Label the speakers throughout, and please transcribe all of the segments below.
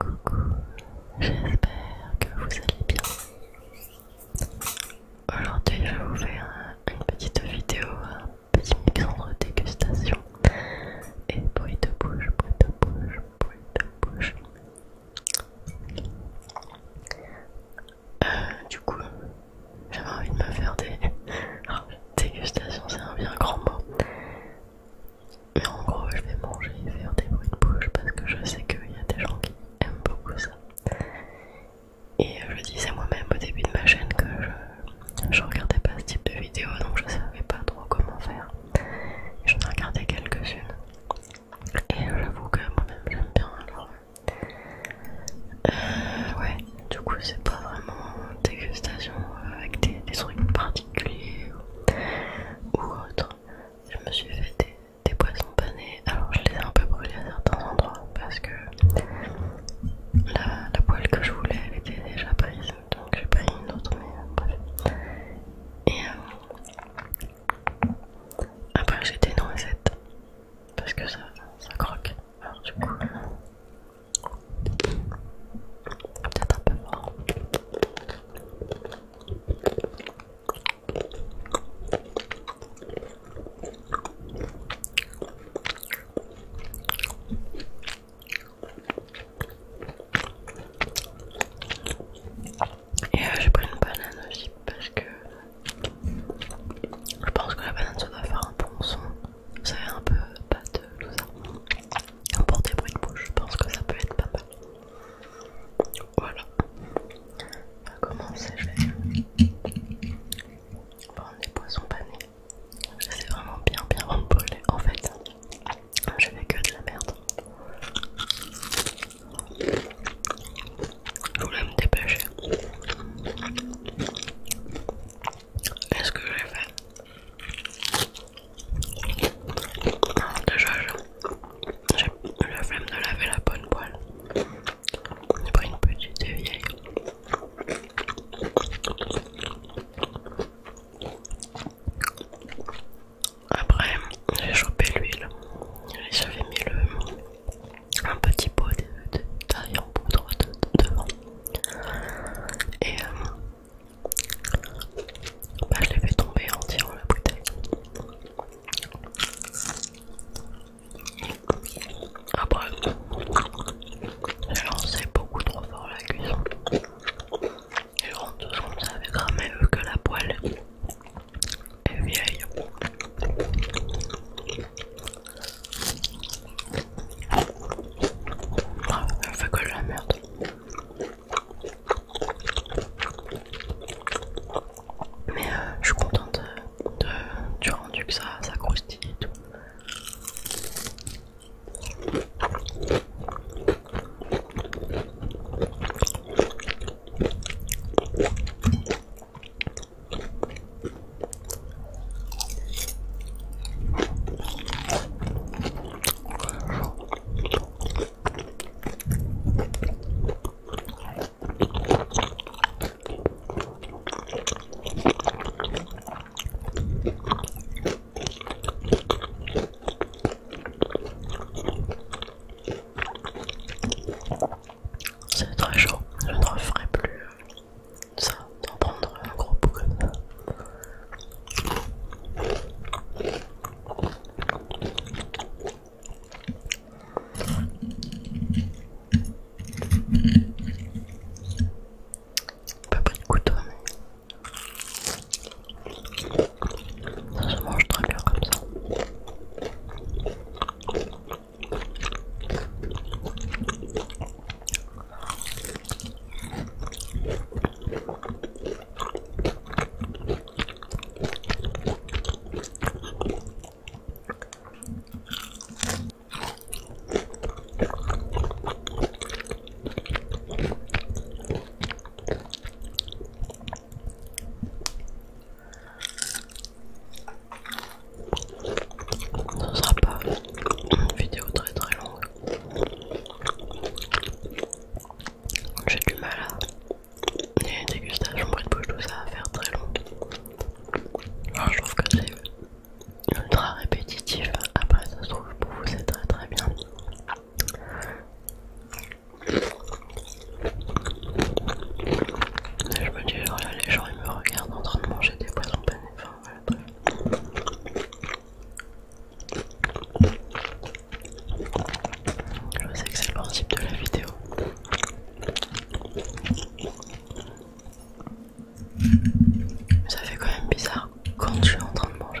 Speaker 1: Coucou, j'espère que vous allez bien. Aujourd'hui, je vais vous faire une petite vidéo, un petit mix entre dégustation et bruit de bouche, bruit de bouche, bruit de bouche. Euh, du coup, j'avais envie de me faire des. dégustation, c'est un bien grand mot. Mais en gros, je vais manger et faire des bruits de bouche parce que je sais qu'il y a des gens qui aiment beaucoup ça. Et euh, je disais moi-même au début de ma chaîne que je, regardais pas ce type de vidéo donc je savais pas trop comment faire. J'en ai regardé quelques-unes. Et j'avoue que moi-même j'aime bien alors. Euh, ouais, du coup, c'est pas vraiment dégustation avec des, des trucs particuliers ou autre. Je me suis fait des, poissons panés, alors je les ai un peu brûlés à certains endroits parce que la, poêle que je voulais elle était déjà prise, donc j'ai pris une autre, mais bref. Et euh, après j'ai des noisettes, parce que ça, ça croque, alors du coup. Peut-être un peu fort. Et euh, j'ai pris une banane aussi parce que je pense que la banane ça doit faire un bon son. vous savez un peu pâteux, tout ça. Pour des bruits de bouche, je pense que ça peut être pas mal. Voilà. On va bah, commencer, je vais prendre des poissons panés. C'est vraiment bien bien remboulé en fait. Je fais que de la merde. Je voulais me dépêcher. Est-ce que j'ai fait Déjà, j'ai la flemme de laver la bonne poêle. pour pas une petite vieille. Après, j'ai chopé l'huile. J'avais mis un petit pot de, en poudre devant. Et euh, bah, je l'ai fait tomber en tirant la bouteille. Après, ah, bah, j'ai lancé beaucoup trop fort la cuisson. Et je rentre tout comme ça avec cramé vu que la poêle est vieille. Ah, elle fait que de la merde. Mais euh, je suis contente euh, de, du rendu que ça, ça croustille et tout. C'est très chaud, je ne referai plus euh, ça, d'en prendre un gros bout
Speaker 2: pas pris de couteau, mais ça se mange très bien comme ça. Ce sera pas une vidéo très très longue. J'ai du mal à. des dégustations a bruit de bouche, tout ça à faire très long. je trouve que c'est ultra répétitif. Après, ça se trouve pour vous, c'est très très bien. Et je me dis, genre, les gens ils me regardent en train de manger des poissons panés. Je sais que c'est le principe de la vidéo. ça fait quand même bizarre quand je suis en train de manger.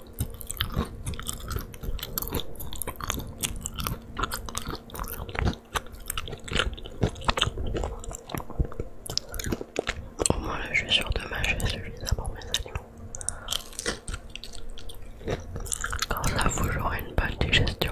Speaker 2: Au moins là je suis sûr de mâcher celui-là pour mes animaux. Quand ça vous j'aurai une belle digestion.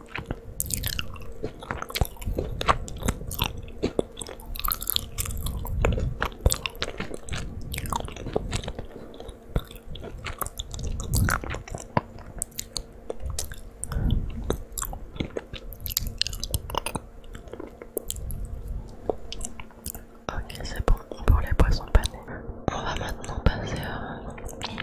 Speaker 2: Ok, c'est bon pour les poissons panés. On va maintenant passer à une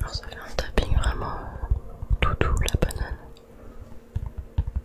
Speaker 2: Alors ça fait un tapping vraiment tout doux la banane.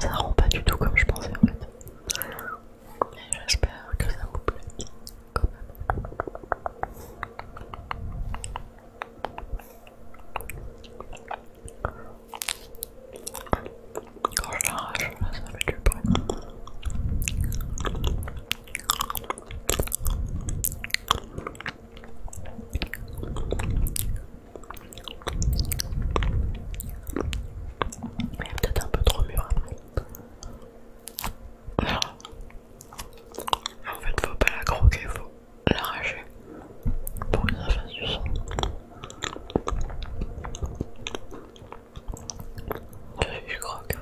Speaker 2: Ça rend pas du tout comme je pensais en fait. J'espère que ça vous plaît quand même. Quand je l'arrache, ça fait du bruit. Mais peut-être un peu trop mûr. En fait, il ne faut pas la croquer, il faut l'arracher pour que ça fasse du son. Je croque.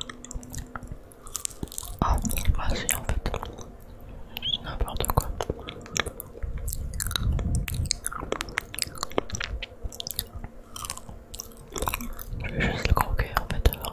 Speaker 2: Ah, bah si en fait. C'est n'importe quoi. Je vais juste le croquer en fait alors.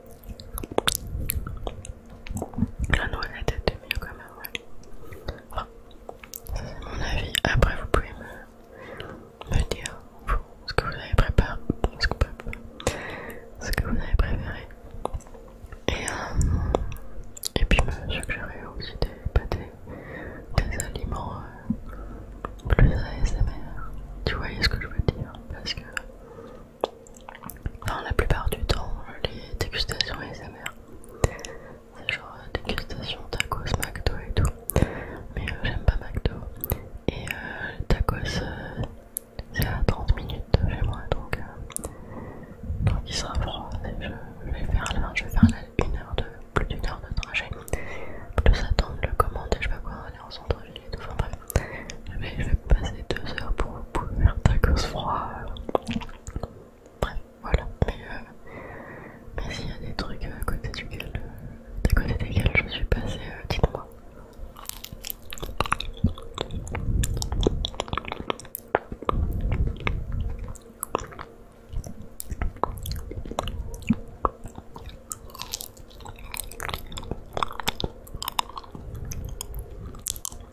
Speaker 2: La noix, la tête mieux quand même, Enfin, c'est mon avis. Après, vous pouvez me, dire ce que vous avez préparé, ce que, vous avez préféré. Et, euh, et puis me bah, suggérer aussi des pâtés, des aliments euh, plus ASMR. Tu voyais ce que je veux dire Parce que Enfin, la plupart du temps, les dégustations ASMR, c'est genre euh, dégustation tacos, McDo et tout. Mais euh, j'aime pas McDo. Et euh, le tacos, c'est à 30 minutes chez moi, donc, il sera froid. Je, vais faire là, je vais faire une heure de, plus d'une heure de trajet. Plus attendre le commande je vais pas quoi aller en centre-ville et tout. Mais je vais passer deux heures pour vous ta faire tacos froid. voilà. Euh, mais s'il y a des trucs euh, à côté duquel, euh, desquels je suis passé, dites-moi.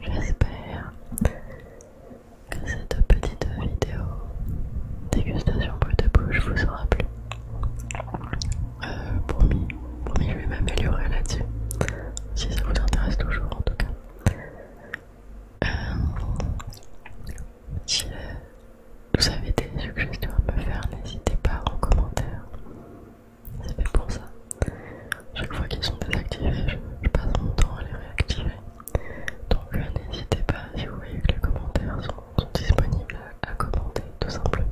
Speaker 2: Voilà, j'espère que cette petite vidéo dégustation peu de bouche vous aura plu. Pour euh, promis, promis, je vais m'améliorer là-dessus. Si ça vous intéresse toujours, en tout cas. Euh, si euh, vous avez des suggestions à me faire, n'hésitez pas en commentaire. C'est fait pour ça. Chaque fois qu'ils sont désactivés, je, passe mon temps à les réactiver. Donc euh, n'hésitez pas, si vous voyez que les commentaires sont, disponibles, à, commenter tout simplement.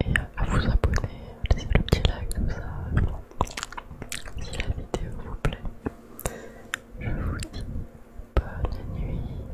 Speaker 2: Et à, vous abonner, laisser le petit like, tout ça. Si la vidéo vous plaît, je vous dis bonne nuit.